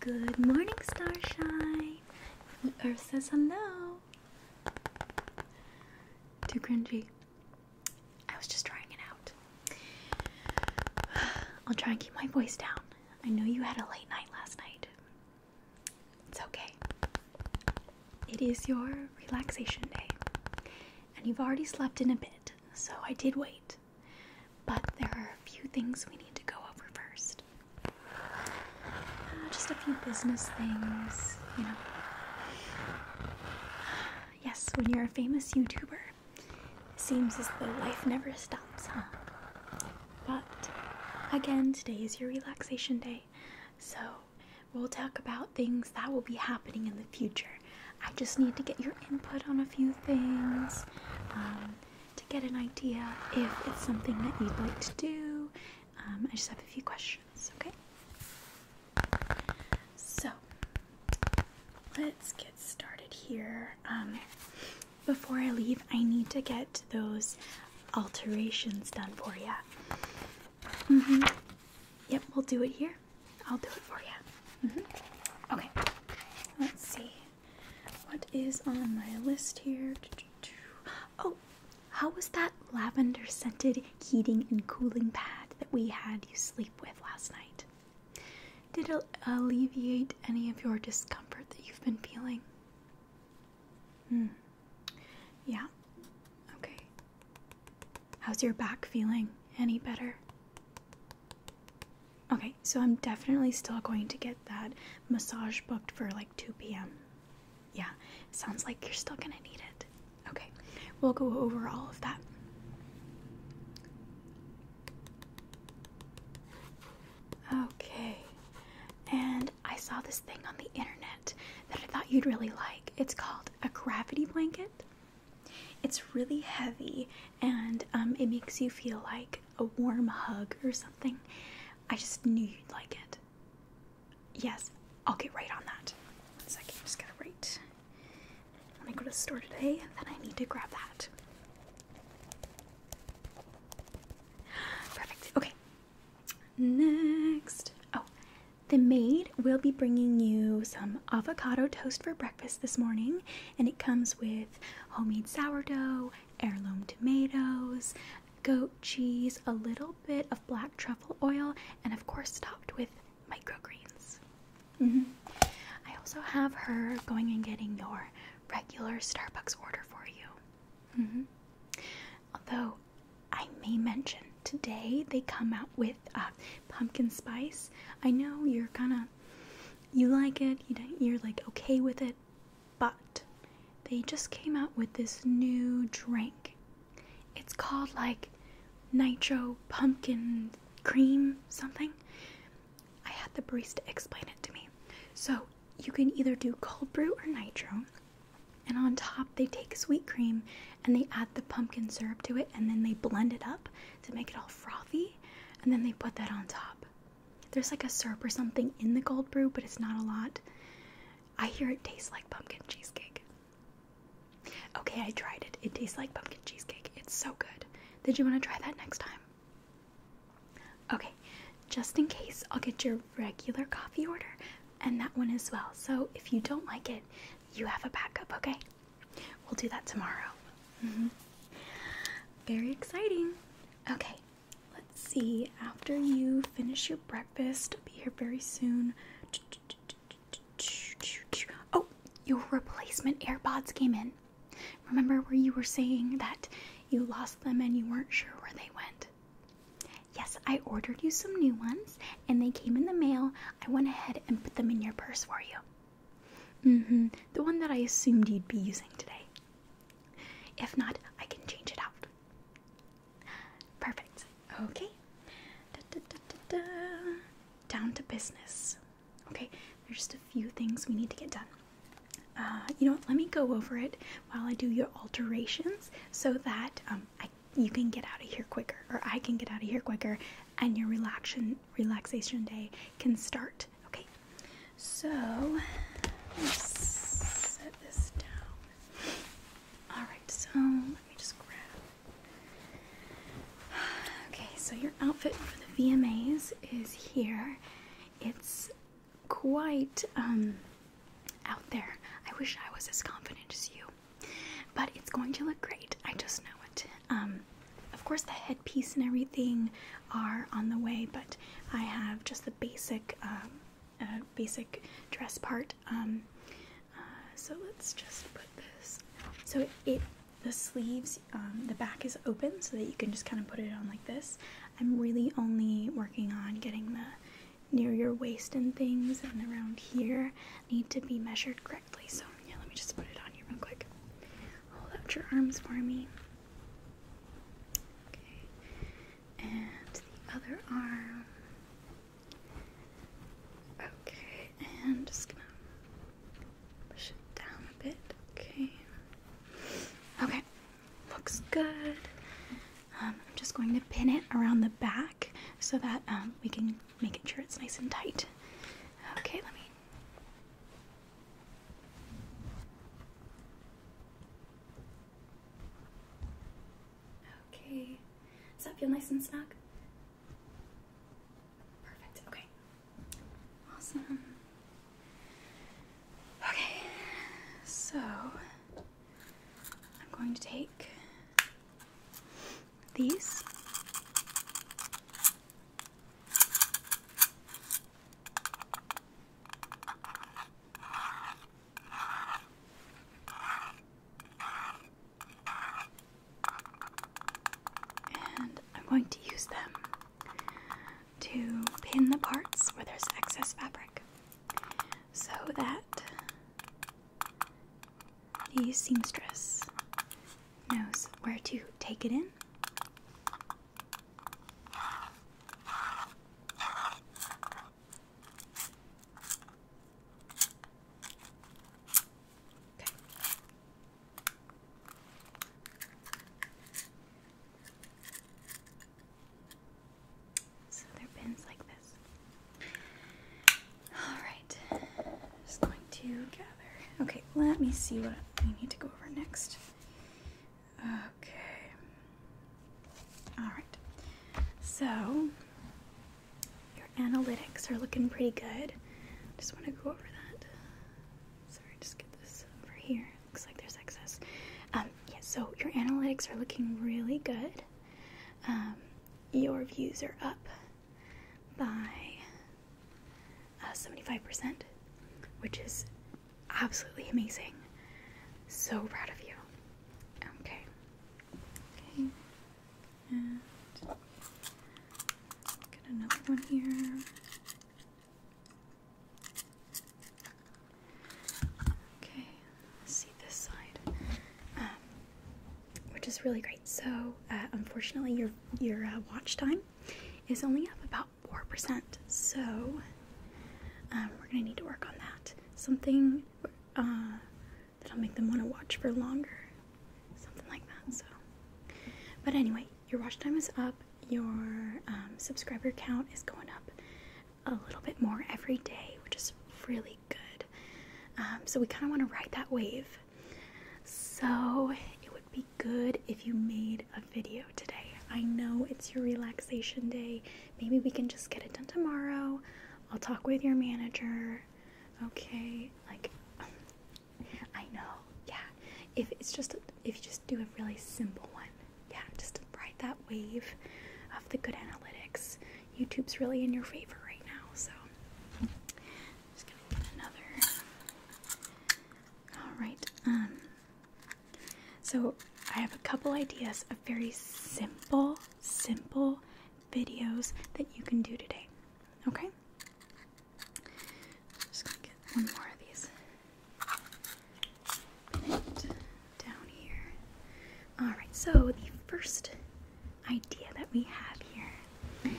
Good morning, Starshine. The earth says hello. Too cringy. I was just trying it out. I'll try and keep my voice down. I know you had a late night last night. It's okay. It is your relaxation day, and you've already slept in a bit, so I did wait. But there are a few things we need to go over first. Uh, just a few business things, you know. Yes, when you're a famous YouTuber, it seems as though life never stops, huh? But again, today is your relaxation day, so we'll talk about things that will be happening in the future I just need to get your input on a few things um, to get an idea if it's something that you'd like to do. Um, I just have a few questions, okay? So let's get started here. Um, before I leave, I need to get those alterations done for you. -hmm. Yep, we'll do it here. I'll do it for you. -hmm. Okay, let's see. What is on my list here? Oh, how was that lavender scented heating and cooling pad that we had you sleep with last night? Did it alleviate any of your discomfort that you've been feeling? Hmm. Yeah. Okay. How's your back feeling? Any better? Okay, so I'm definitely still going to get that massage booked for like 2 p.m. Yeah, sounds like you're still gonna need it. Okay, we'll go over all of that. Okay, and I saw this thing on the internet that I thought you'd really like. It's called a gravity blanket. It's really heavy and um, it makes you feel like a warm hug or something. I just knew you'd like it. Yes, I'll get right on that. One just gotta write. When I go to the store today, then I need to grab that. Perfect. Okay. Next. Oh, the maid will be bringing you some avocado toast for breakfast this morning, and it comes with homemade sourdough, heirloom tomatoes, goat cheese, a little bit of black truffle oil, and of course, topped with microgreens. Mm-hmm. I also have her going and getting your regular Starbucks order for you. Mm-hmm. Although I may mention today they come out with uh, pumpkin spice. I know you're kind of you like it, you are like okay with it, but they just came out with this new drink. It's called like nitro pumpkin cream something. I had the barista explain it to me. So you can either do cold brew or nitro. And on top, they take sweet cream and they add the pumpkin syrup to it and then they blend it up to make it all frothy. And then they put that on top. There's like a syrup or something in the gold brew, but it's not a lot. I hear it tastes like pumpkin cheesecake. Okay, I tried it. It tastes like pumpkin cheesecake. It's so good. Did you want to try that next time? Okay, just in case, I'll get your regular coffee order and that one as well. So if you don't like it, you have a backup, okay? We'll do that tomorrow. Mm-hmm. Very exciting. Okay, let's see. After you finish your breakfast, I'll be here very soon. Oh, your replacement AirPods came in. Remember where you were saying that you lost them and you weren't sure where they went? Yes, I ordered you some new ones and they came in the mail. I went ahead and put them in your purse for you. Mm-hmm. The one that I assumed you'd be using today. If not, I can change it out. Perfect. Okay. Da, da, da, da, Down to business. Okay, there's just a few things we need to get done. Uh, you know what? Let me go over it while I do your alterations so that um, you can get out of here quicker, or I can get out of here quicker, and your relaxation relaxation day can start. Okay. So let's set this down. Alright, so let me just grab. Okay, so your outfit for the VMAs is here. It's quite um out there. I wish I was as confident as you. But it's going to look great. I just know it. Um of course the headpiece and everything are on the way, but I have just the basic, um, uh, basic dress part. Um, uh, so let's just put this. So it, the sleeves, um, the back is open so that you can just kind of put it on like this. I'm really only working on getting the near your waist and things and around here need to be measured correctly. So yeah, let me just put it on you real quick. Hold out your arms for me. Okay, and the other arm. Okay, and just gonna push it down a bit. Okay. Okay, looks good. Um, I'm just going to pin it around the back so that um, we can make sure it's nice and tight. Okay, let me Okay. Does that feel nice and snug? Perfect. Okay. Awesome. Okay. So I'm going to take these and I'm going to use them to pin the parts where there's excess fabric so that the seamstress knows where to take it in so they're bins like this. Alright, just going to gather. Okay, let me see what we need to go over next. Okay. All right. So your analytics are looking pretty good. Just want to go over that. Sorry, just get this over here. Looks like there's excess. Um, yeah, so your analytics are looking really good. Um, your views are up by 75%, uh, which is absolutely amazing. So proud of you. Okay. Okay. get another one here. Okay, see this side, um, which is really great. So, uh, unfortunately, your your uh, watch time is only up about 4%. So um, we're going to need to work on that. Something uh, that'll make them want to watch for longer. Something like that. So, But anyway, your watch time is up. Your um, subscriber count is going up a little bit more every day, which is really good. Um, so we kind of want to ride that wave. So it would be good if you made video today. I know it's your relaxation day. Maybe we can just get it done tomorrow. I'll talk with your manager. Okay? Like I know. Yeah. If it's just if you just do a really simple one. Yeah, just ride that wave of the good analytics. YouTube's really in your favor right now, so just gonna get another. All right. Um so, I have a couple ideas of very simple, simple videos that you can do today. Okay? just gonna get one more of these. down here. Alright, so the first idea that we have here.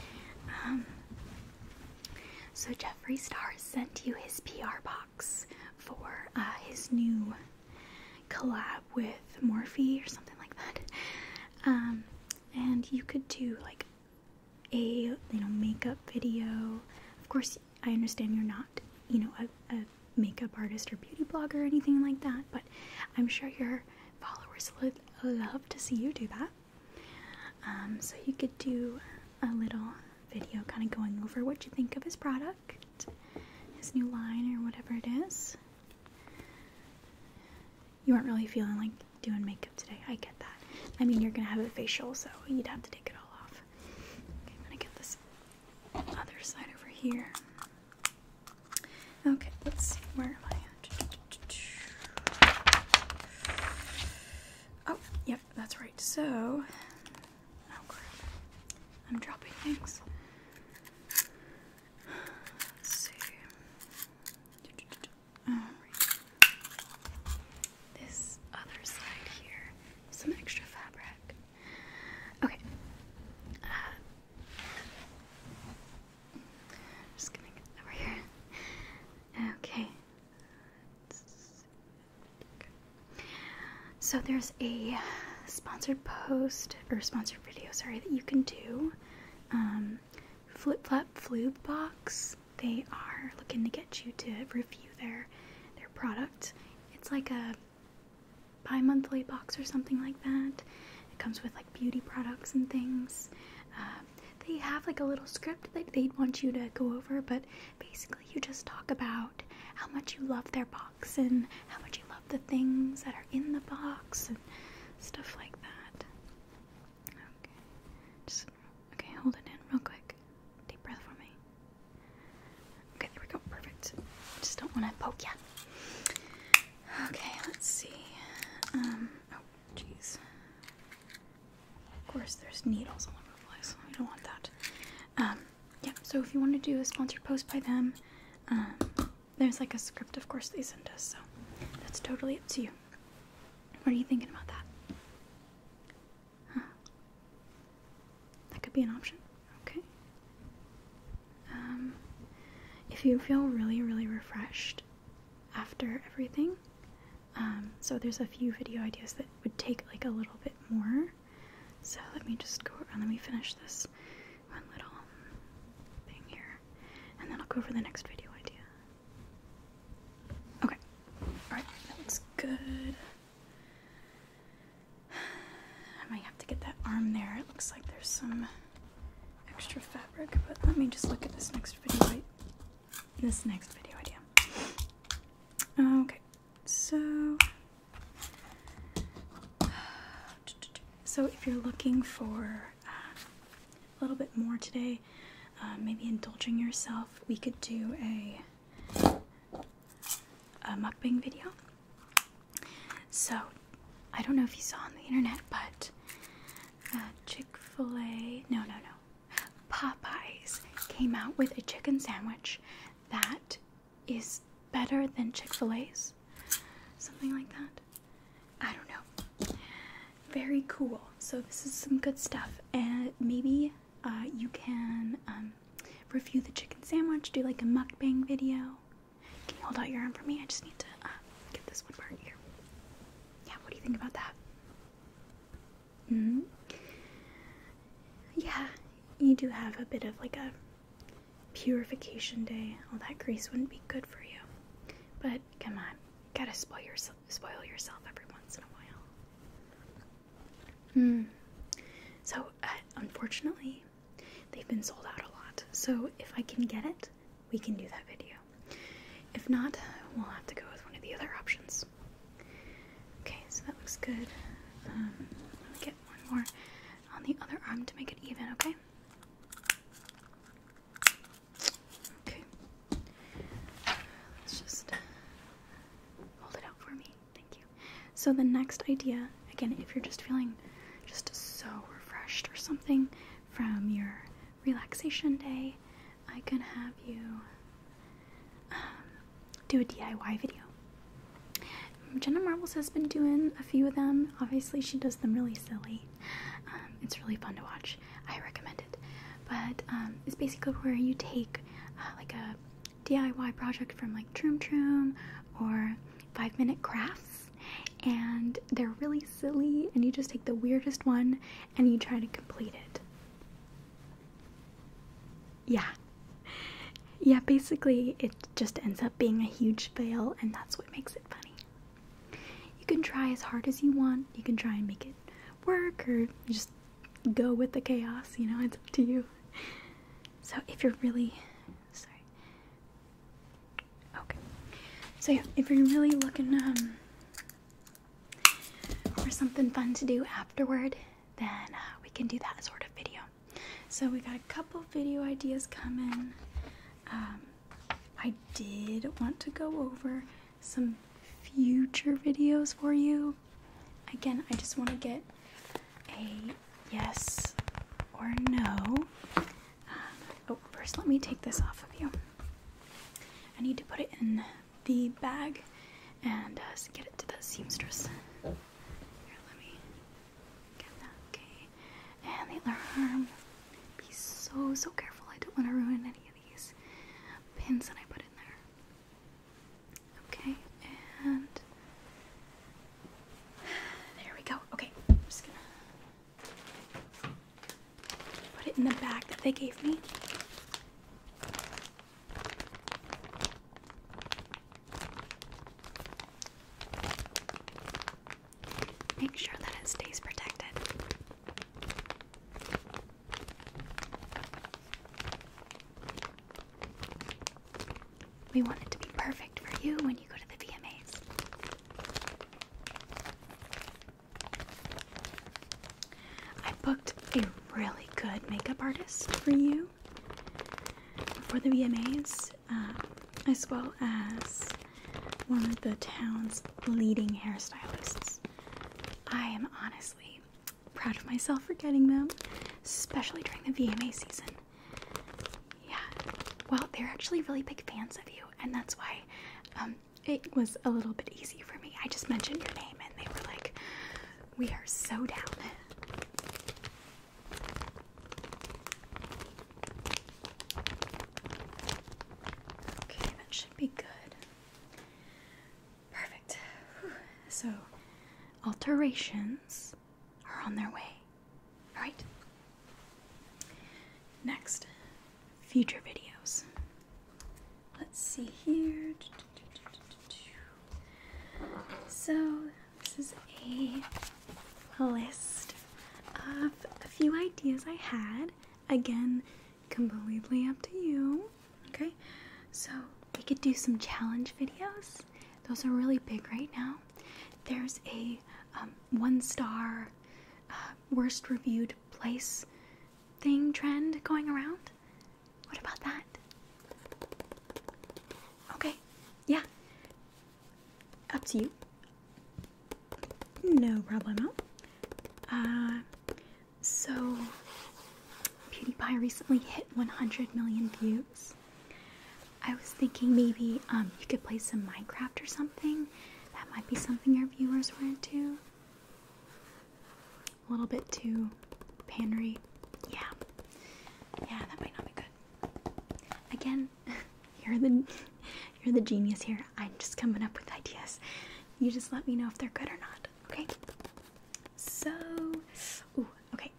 Um, so Jeffree Star sent you his PR box for uh, his new collab with Morphe or something like that. Um, and you could do like a you know makeup video. Of course, I understand you're not you know a, makeup artist or beauty blogger or anything like that, but I'm sure your followers would love to see you do that. Um, so you could do a little video kind of going over what you think of his product, his new line, or whatever it is. You weren't really feeling like doing makeup today. I get that. I mean, you're going to have a facial, so you'd have to take it all off. Okay, I'm going to get this other side over here. Okay, let's see. Where am I? Oh, yep, that's right. So, Oh, I'm dropping things. Let's see. Oh, this other side here, some extra fabric. Okay. Uh, just gonna get over here. Okay. So there's a sponsored post or sponsored video, sorry, that you can do. Um, Flip Flop Floob Box. They are looking to get you to review their their product. It's like a bi-monthly box or something like that. It comes with like beauty products and things. Uh, they have like a little script that they'd want you to go over, but basically you just talk about how much you love their box and how much you love the things that are in the box and stuff like that. Okay. Just okay, hold it in real quick. Deep breath for me. Okay, there we go. Perfect. Just don't want to poke you. Okay, let's see. Um oh jeez. Of course there's needles all over the place. We don't want that. Um, yeah, so if you want to do a sponsored post by them, um, there's like a script, of course, they send us, so that's totally up to you. What are you thinking about that? Huh. That could be an option. Okay. Um, if you feel really, really refreshed after everything, um, so there's a few video ideas that would take like a little bit more so let me just go around. Uh, let me finish this one little thing here, and then I'll go for the next video idea. Okay, alright, that looks good. I might have to get that arm there. It looks like there's some extra fabric, but let me just look at this next video. This next video idea. Okay, so, so if you're looking for um, a little bit more today, uh, maybe indulging yourself, we could do a, a mukbang video. So, I don't know if you saw on the internet, but uh, Chick fil A, no, no, no, Popeyes came out with a chicken sandwich that is better than Chick fil A's? Something like that? I don't know. Very cool. So, this is some good stuff. And maybe uh, you can um, review the chicken sandwich, do like a mukbang video. Can you hold out your arm for me? I just need to uh, get this one part here. Yeah, what do you think about that? hmm yeah, you do have a bit of like a purification day. All that grease wouldn't be good for you. But come on, gotta spoil yourself, spoil yourself every once in a while. Hmm. So uh, unfortunately, they've been sold out a lot. So if I can get it, we can do that video. If not, we'll have to go with one of the other options. Okay, so that looks good. Um, let me get bit more on the other arm to make it even, okay? Okay. Let's just uh, hold it out for me. Thank you. So the next idea, again, if you're just feeling just so refreshed or something from your relaxation day, I can have you um, do a DIY video. Jenna Marbles has been doing a few of them. Obviously, she does them really silly. Um, it's really fun to watch. I recommend it. But um, it's basically where you take uh, like a DIY project from like Troom Troom or Five Minute Crafts, and they're really silly, and you just take the weirdest one and you try to complete it yeah. Yeah, basically, it just ends up being a huge fail, and that's what makes it funny. You can try as hard as you want, you can try and make it work, or just go with the chaos, you know, it's up to you. So, if you're really sorry, okay, so yeah, if you're really looking um, for something fun to do afterward, then uh, we can do that sort of video. So we got a couple video ideas coming. Um, I did want to go over some future videos for you. Again, I just want to get a yes or no. Um, oh, first let me take this off of you. I need to put it in the bag and uh, get it to the seamstress. Here, let me get that. Okay. And the other arm. Be so, so careful. I don't want to ruin any of these pins that I put in there. Okay, and there we go. Okay, I'm just gonna put it in the bag that they gave me. Make sure that it stays protected. We want it to be perfect for you when you go to the VMAs. I booked a really good makeup artist for you for the VMAs, uh, as well as one of the town's leading hairstylists. I am honestly proud of myself for getting them, especially during the VMA season. Yeah, well, they're actually really big fans of you, and that's why um, it was a little bit easy for me. I just mentioned your name, and they were like, We are so down. Okay, that should be good. Perfect. So, alterations are on their way. All right. Next, future videos. Let's see here. So, this is a list of a few ideas I had. Again, completely up to you. Okay, so we could do some challenge videos, those are really big right now. There's a um, one star uh, worst reviewed place thing trend going around. What about that? Okay. Yeah. Up to you. No problemo. Uh, so, PewDiePie recently hit 100 million views. I was thinking maybe um, you could play some Minecraft or something. That might be something your viewers want into. A little bit too panery. Yeah. Yeah, that might not be good. Again, you're the you're the genius here. I'm just coming up with ideas. You just let me know if they're good or not. Okay. So, okay.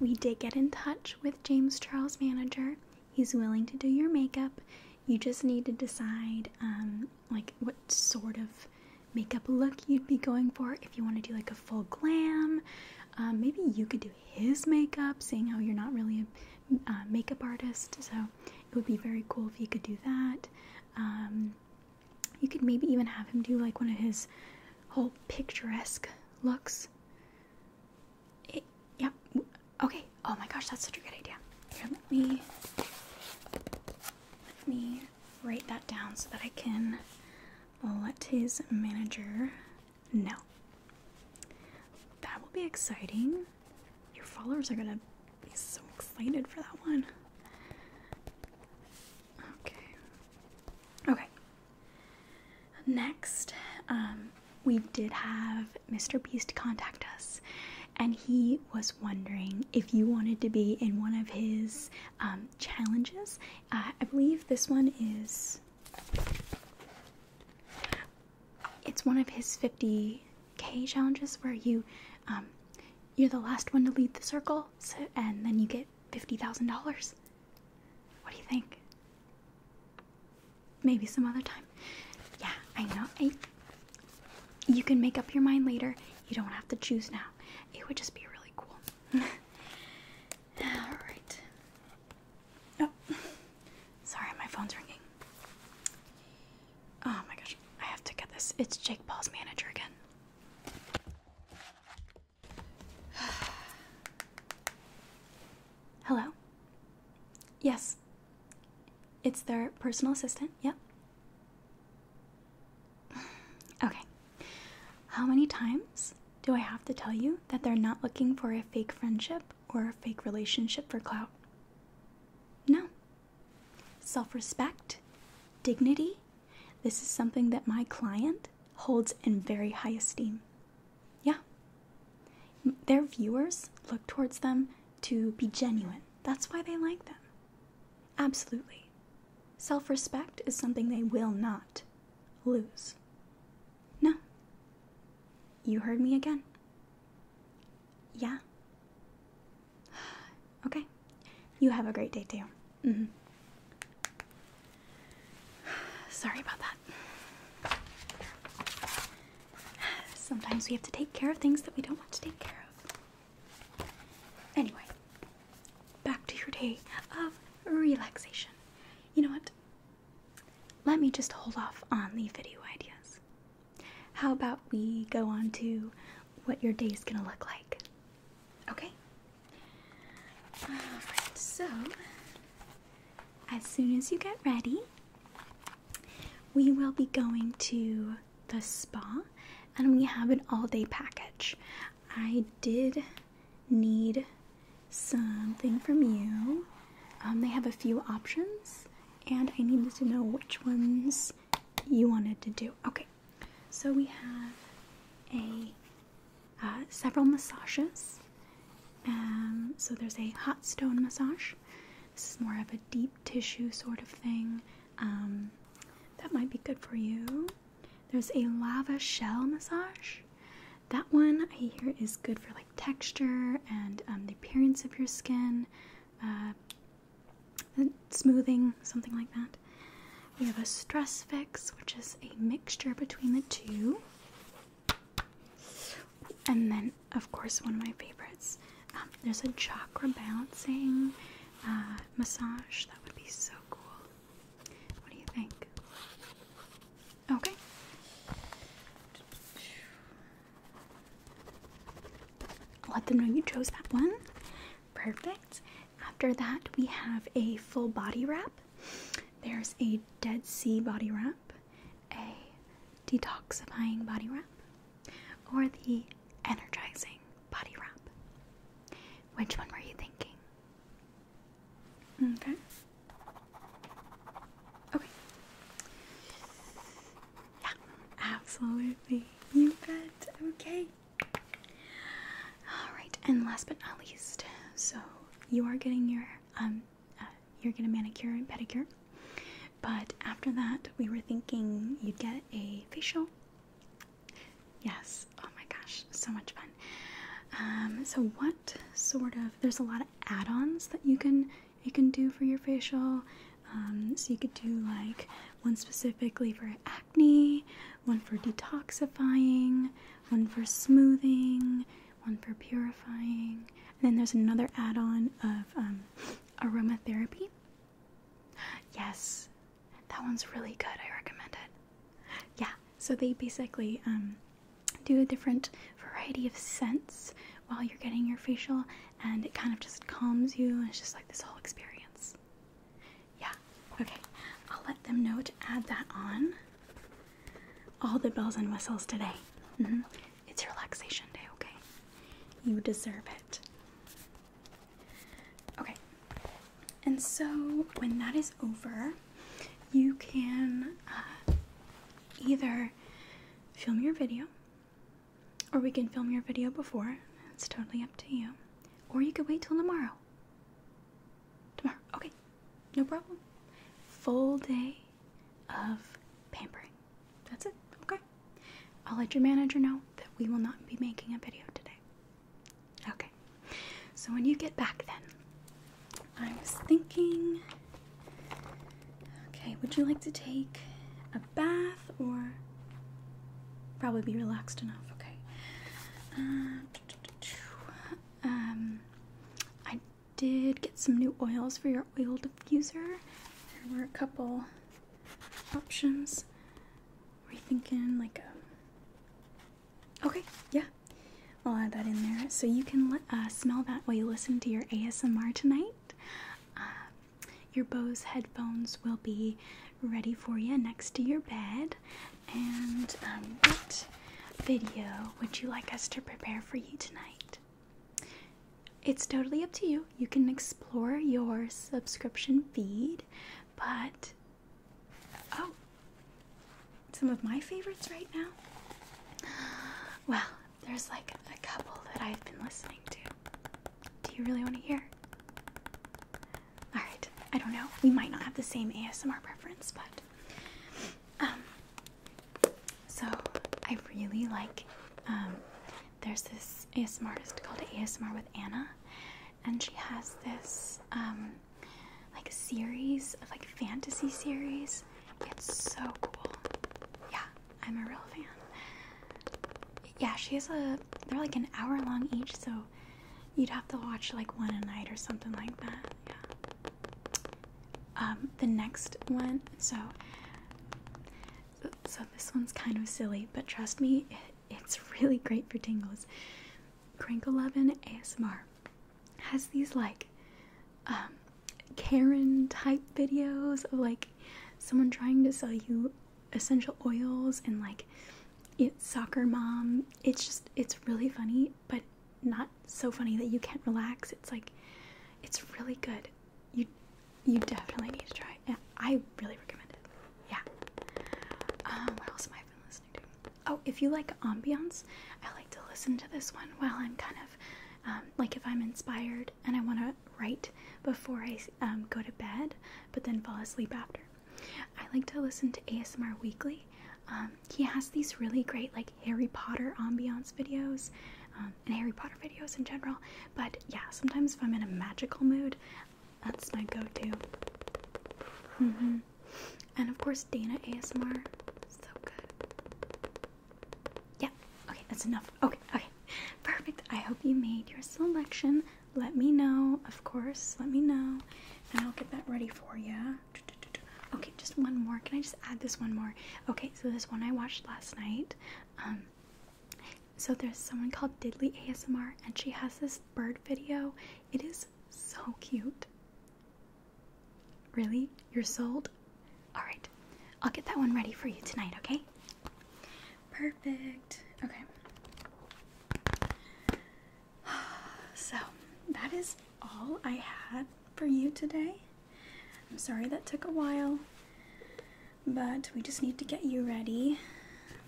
We did get in touch with James Charles' manager. He's willing to do your makeup. You just need to decide, um, like what sort of makeup look you'd be going for. If you want to do like a full glam, um, maybe you could do his makeup, seeing how you're not really a uh, makeup artist. So it would be very cool if you could do that. Um, you could maybe even have him do like one of his whole picturesque looks. yep. Okay. Oh my gosh, that's such a good idea. let me let me write that down so that I can let his manager no. That will be exciting. Your followers are gonna be so excited for that one. Okay. Okay. Next, um, we did have Mr. Beast contact us, and he was wondering if you wanted to be in one of his um, challenges. Uh, I believe this one is it's one of his 50k challenges where you, um, you're the last one to lead the circle, and then you get $50,000. What do you think? Maybe some other time. Yeah, I know. you can make up your mind later. You don't have to choose now. It would just be really cool. Alright. Oh, sorry, my phone's ringing. Oh my gosh, I have to get this. It's Jake Paul's manager again. Hello? Yes. It's their personal assistant, yep. Okay. How many times do I have to tell you that they're not looking for a fake friendship or a fake relationship for clout? No. Self respect, dignity, this is something that my client holds in very high esteem. Yeah. Their viewers look towards them to be genuine. That's why they like them. Absolutely. Self respect is something they will not lose. No. You heard me again. Yeah. Okay. You have a great day too. -hmm. Sorry about that. Sometimes we have to take care of things that we don't want to take care of. Anyway, back to your day of relaxation. You know what? let me just hold off on the video ideas. How about we go on to what your day is going to look like? Okay? so as soon as you get ready, we will be going to the spa and we have an all day package. I did need something from you. Um, they have a few options, and I needed to know which ones you wanted to do. Okay, so we have a uh, several massages. Um, so there's a hot stone massage. This is more of a deep tissue sort of thing. Um, that might be good for you. There's a lava shell massage. That one I hear is good for like texture and um, the appearance of your skin, uh, smoothing, something like that. We have a stress fix, which is a mixture between the two. And then, of course, one of my favorites. Um, there's a chakra balancing uh, massage. That would be so cool. What do you think? Okay. Let them know you chose that one. Perfect. After that, we have a full body wrap. There's a Dead Sea body wrap, a detoxifying body wrap, or the energizing body wrap. Which one were you thinking? Okay. Okay. Yeah, absolutely. You bet. Okay. All right, and last but not least, so you are getting your um, uh, you're gonna manicure and pedicure, but after that, we were thinking you'd get a facial. Yes. Oh my gosh, so much fun. Um, so what sort of? There's a lot of add-ons that you can you can do for your facial. Um, so you could do like one specifically for acne, one for detoxifying, one for smoothing, one for purifying, and then there's another add-on of um, aromatherapy. Yes, that one's really good. I recommend it. Yeah. So they basically um, do a different variety of scents while you're getting your facial, and it kind of just calms you, and it's just like this whole experience. Yeah, okay, I'll let them know to add that on. All the bells and whistles today. Mm -hmm. It's relaxation day, okay? You deserve it. Okay, and so when that is over, you can uh, either film your video, or we can film your video before. It's totally up to you. Or you could wait till tomorrow. Tomorrow, okay, no problem. Full day of pampering. That's it, okay. I'll let your manager know that we will not be making a video today. Okay, so when you get back, then I was thinking, okay, would you like to take a bath or probably be relaxed enough? Okay. Uh, um, I did get some new oils for your oil diffuser. There were a couple options. Were you thinking like a? Okay, yeah, I'll add that in there so you can uh, smell that while you listen to your ASMR tonight. Uh, your Bose headphones will be ready for you next to your bed. And um, what video would you like us to prepare for you tonight? It's totally up to you. You can explore your subscription feed, but oh, some of my favorites right now? Well, there's like a couple that I've been listening to. Do you really want to hear? Alright, I don't know. We might not have the same ASMR preference, but. Um, so, I really like. Um, there's this ASMR artist called ASMR with Anna, and she has this. Um, like a series of like fantasy series it's so cool. Yeah, I'm a real fan. Yeah, she has a. They're like an hour long each, so you'd have to watch like one a night or something like that. Yeah. Um, the next one, so. So this one's kind of silly, but trust me, it's really great for tingles. Crinkle Oven ASMR has these like um, Karen type videos of like someone trying to sell you essential oils and like it's soccer mom. It's just it's really funny, but not so funny that you can't relax. It's like it's really good. You you definitely need to try it. I really recommend it. Yeah. Um, what else am I listening to? Oh, if you like ambiance, I like to listen to this one while I'm kind of um, like if I'm inspired and I want to write before I um, go to bed, but then fall asleep after. I like to listen to ASMR Weekly. Um, he has these really great like Harry Potter ambiance videos and Harry Potter videos in general. But yeah, sometimes if I'm in a magical mood, that's my go-to. Mm-hmm. And of course, Dana ASMR, so good. Yeah, okay, that's enough. Okay, okay, perfect. I hope you made your selection. Let me know, of course. Let me know, and I'll get that ready for you. Okay, just one more. Can I just add this one more? Okay, so this one I watched last night. Um, so there's someone called Diddley ASMR, and she has this bird video. It is so cute. Really? You're sold? Alright. I'll get that one ready for you tonight, okay? Perfect. Okay. So, that is all I had for you today. I'm sorry that took a while, but we just need to get you ready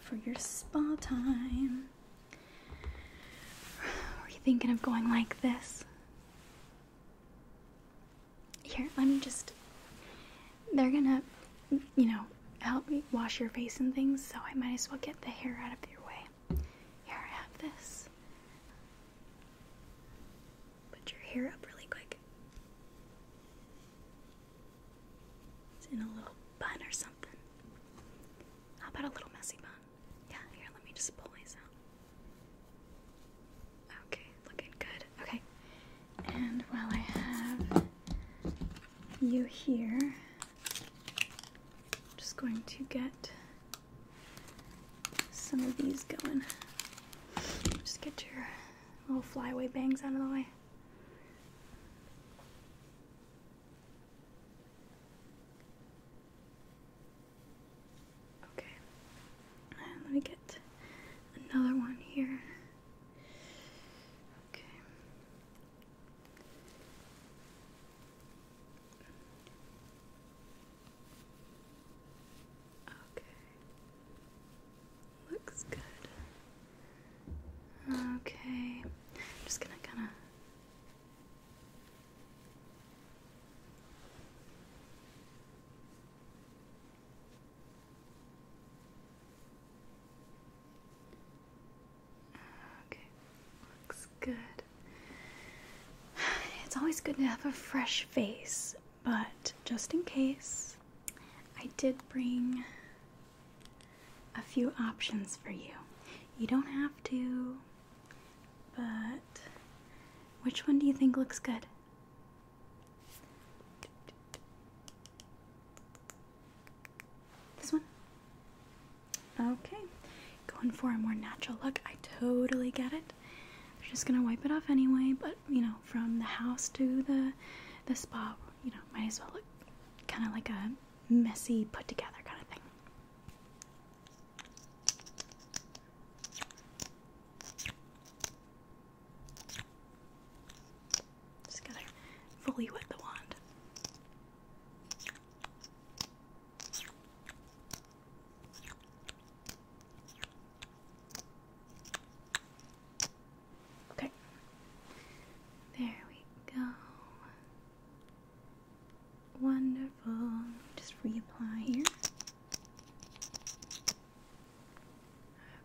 for your spa time. Are you thinking of going like this? Here, let me just. They're gonna, you know, help me wash your face and things, so I might as well get the hair out of your way. Here, I have this. Put your hair up really quick. It's in a little bun or something. How about a little messy bun? Yeah, here, let me just pull these out. Okay, looking good. Okay, and while I have you here, I'm just going to get some of these going. Just get your little flyaway bangs out of the way. Okay. let me get another one here. Okay. Okay. Looks good. Okay. just gonna kinda Okay, looks good. It's always good to have a fresh face, but just in case, I did bring a few options for you. You don't have to, but which one do you think looks good? This one? Okay. Going for a more natural look. I totally get it. I'm just gonna wipe it off anyway, but you know, from the house to the the spa, you know, might as well look kinda like a messy put together kind of thing. Just gonna fully wet the wand. Okay. There we go. Wonderful. Just reapply here.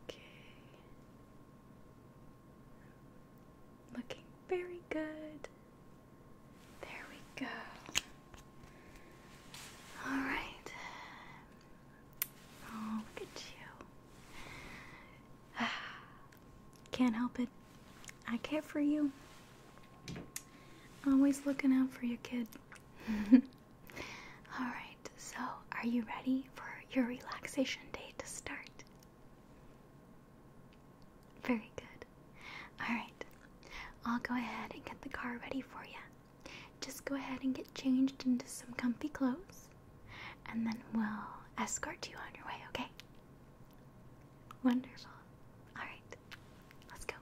Okay. Looking very good. There we go. All right. Oh, look at you. can't help it. I care for you. Always looking out for you, kid. All right, so are you ready for your relaxation day to start? Very good. All right, I'll go ahead and get the car ready for you. Just go ahead and get changed into some comfy clothes, and then we'll escort you on your way, okay? Wonderful. All right, let's go.